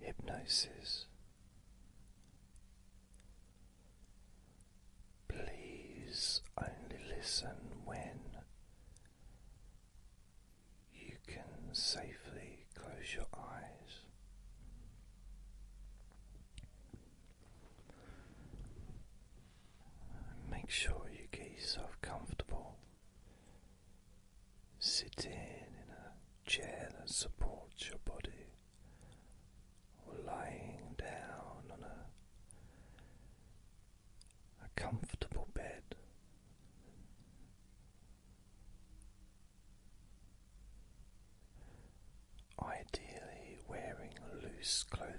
hypnosis. Please only listen when you can safely close your eyes. Make sure you get yourself comfortable Sitting in a chair that supports your body, or lying down on a, a comfortable bed. Ideally, wearing loose clothing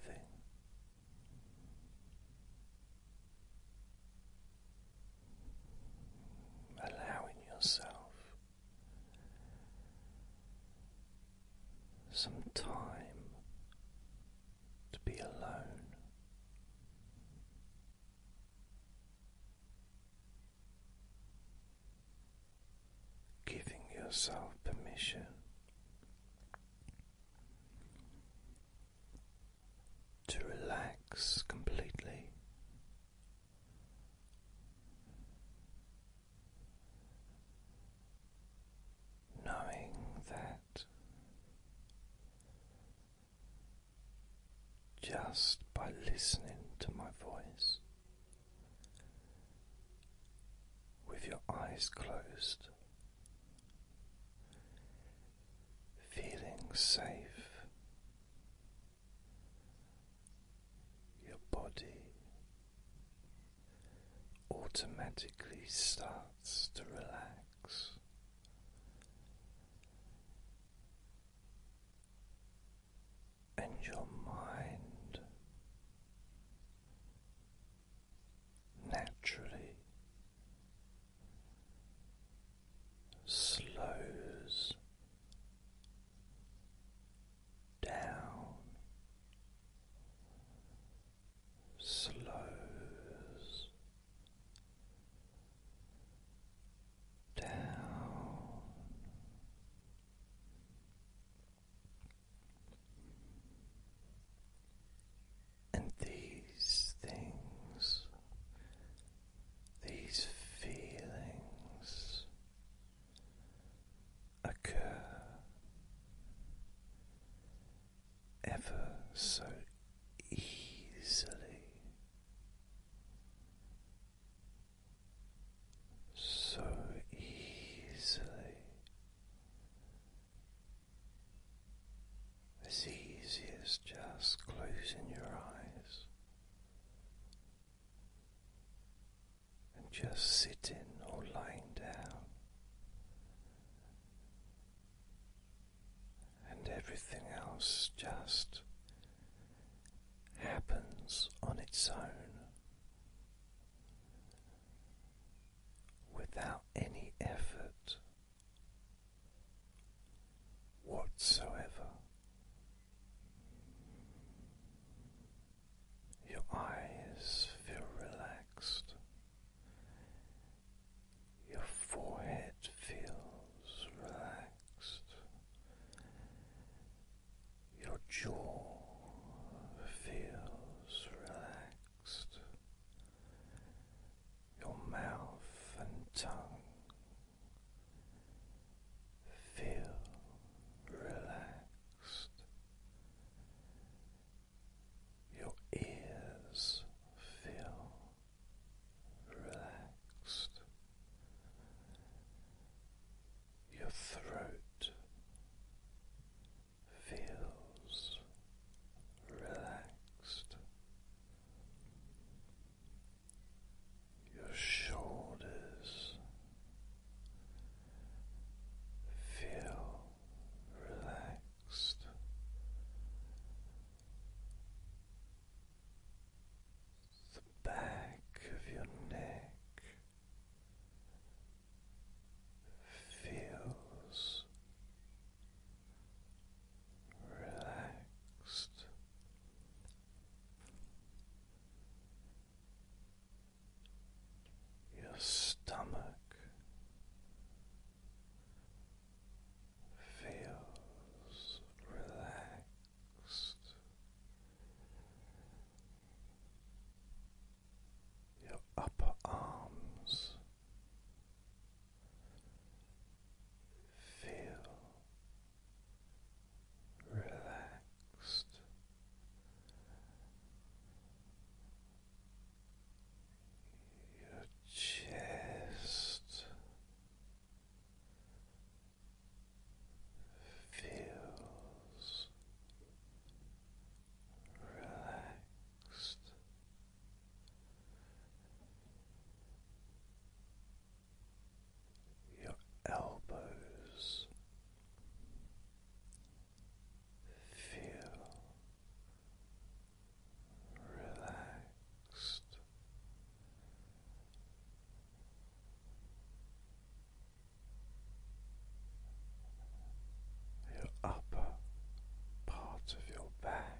allowing yourself some time to be alone. Giving yourself permission to relax completely. Knowing that just by listening to my voice with your eyes closed, feeling safe your body automatically starts to relax. And your mind naturally slows down, slows down. And these things these feelings occur ever so easily. So easily, as easy as just closing your eyes and just sitting or lying down, and everything else just happens on its own without any effort whatsoever. Your eyes feel relaxed, your forehead feels relaxed, your jaw feels relaxed your mouth and tongue feel relaxed, your ears feel relaxed, your throat feels relaxed. Your shoulders feel relaxed. The back of your neck feels relaxed. Your stomach feels relaxed, your upper arms Feel relaxed. Your chest feels relaxed your elbows feel relaxed. Your upper part of your back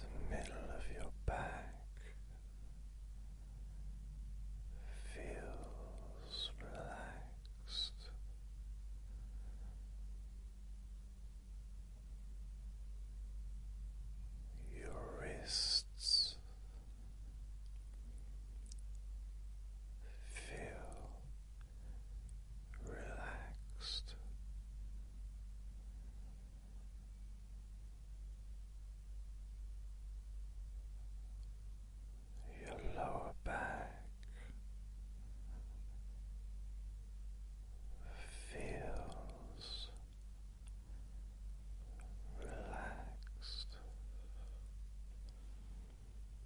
the middle of your back feels relaxed. Your wrists feel relaxed. Your lower back feels relaxed.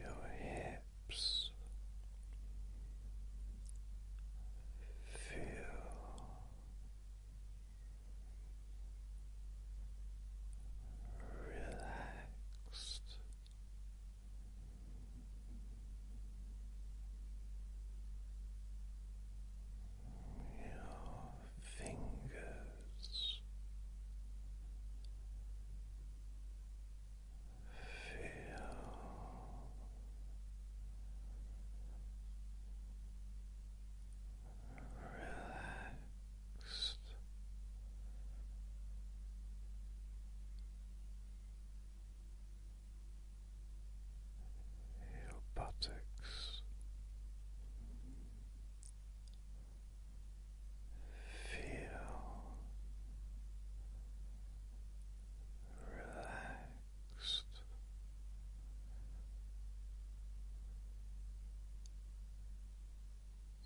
your hips feel relaxed. Your fingers feel relaxed. Your buttocks, Feel relaxed.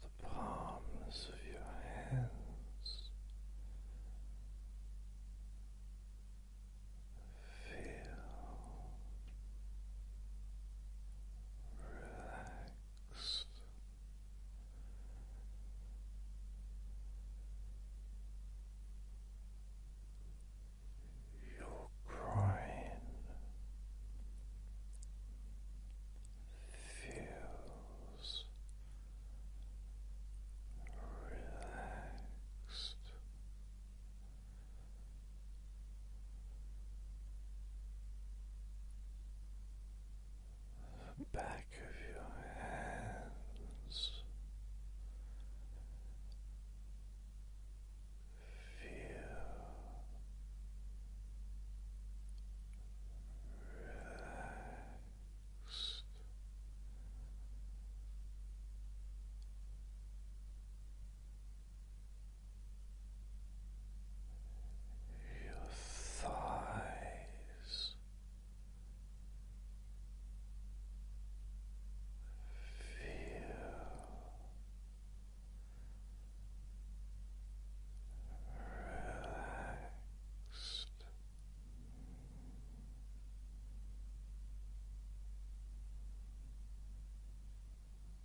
The palms of your hands feel relaxed. You're crying feels relaxed the back of your hands. Feel relaxed your thighs feel relaxed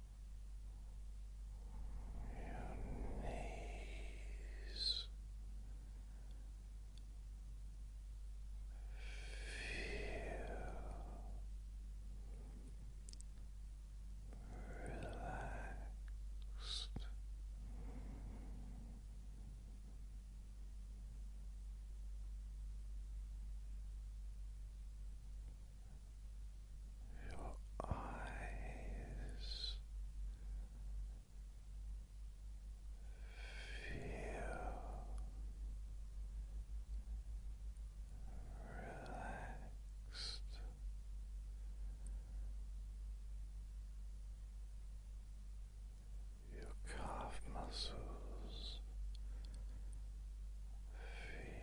your knees feel relaxed your eyes feel relaxed. Your calf muscles feel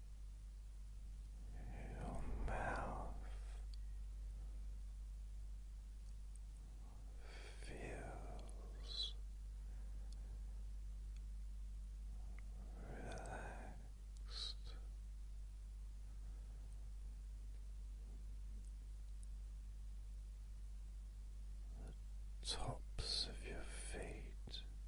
your mouth feels relaxed. The tops of your feet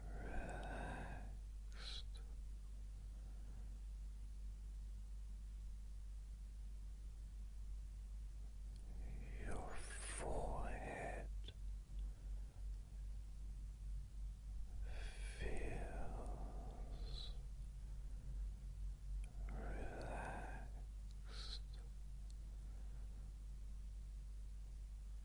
relaxed. Your forehead feels relaxed.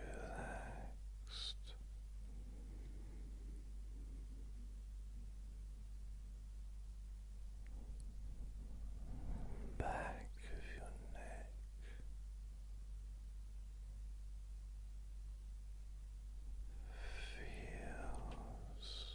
relaxed. Back of your neck, feels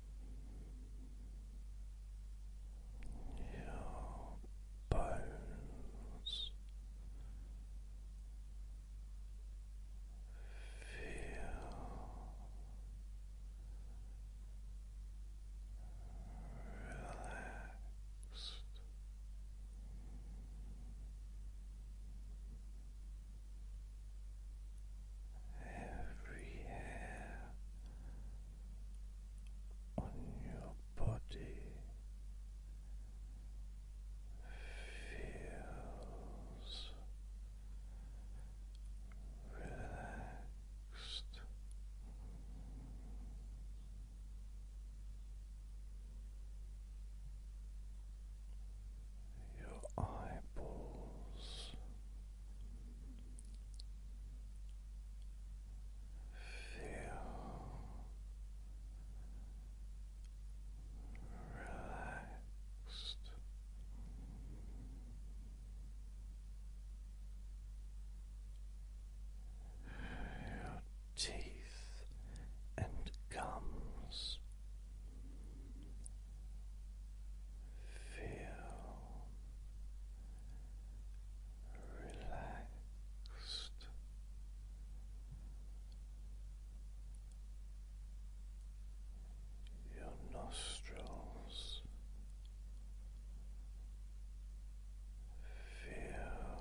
your bones feel relaxed every hair on your body feels relaxed. Your eyeballs relaxed. Your teeth and gums Feel relaxed. Your nostrils feel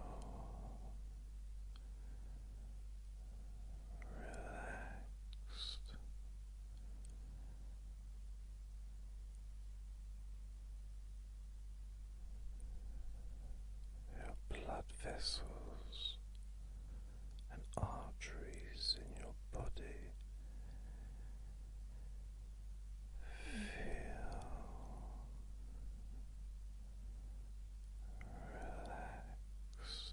relaxed your blood vessels and arteries in your body feel relaxed.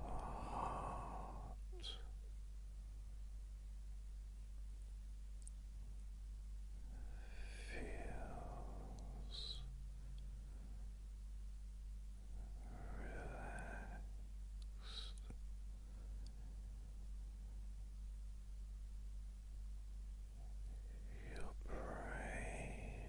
heart. Feels relaxed. Your brain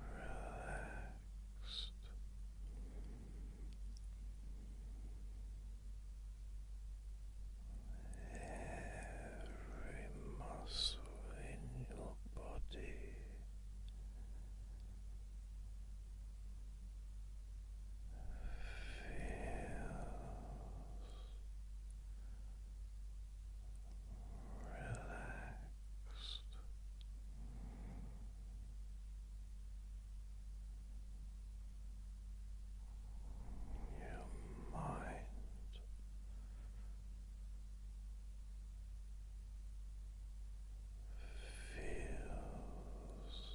relaxed. Every muscle in your body feels relaxed. Your mind. Feels relaxed.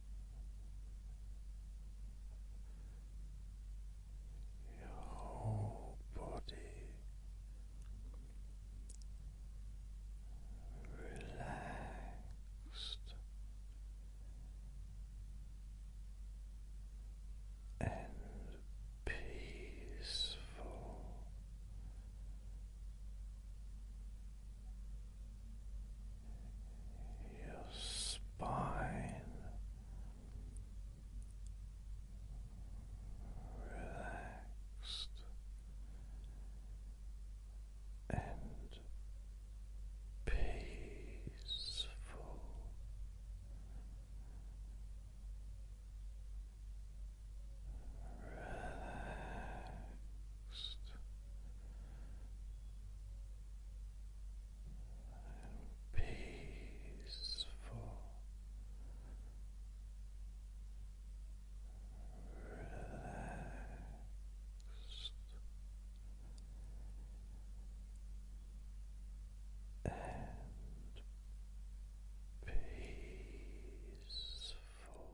your whole body relaxed and peaceful your spine relaxed and peaceful. Relaxed peaceful, relaxed. And peaceful.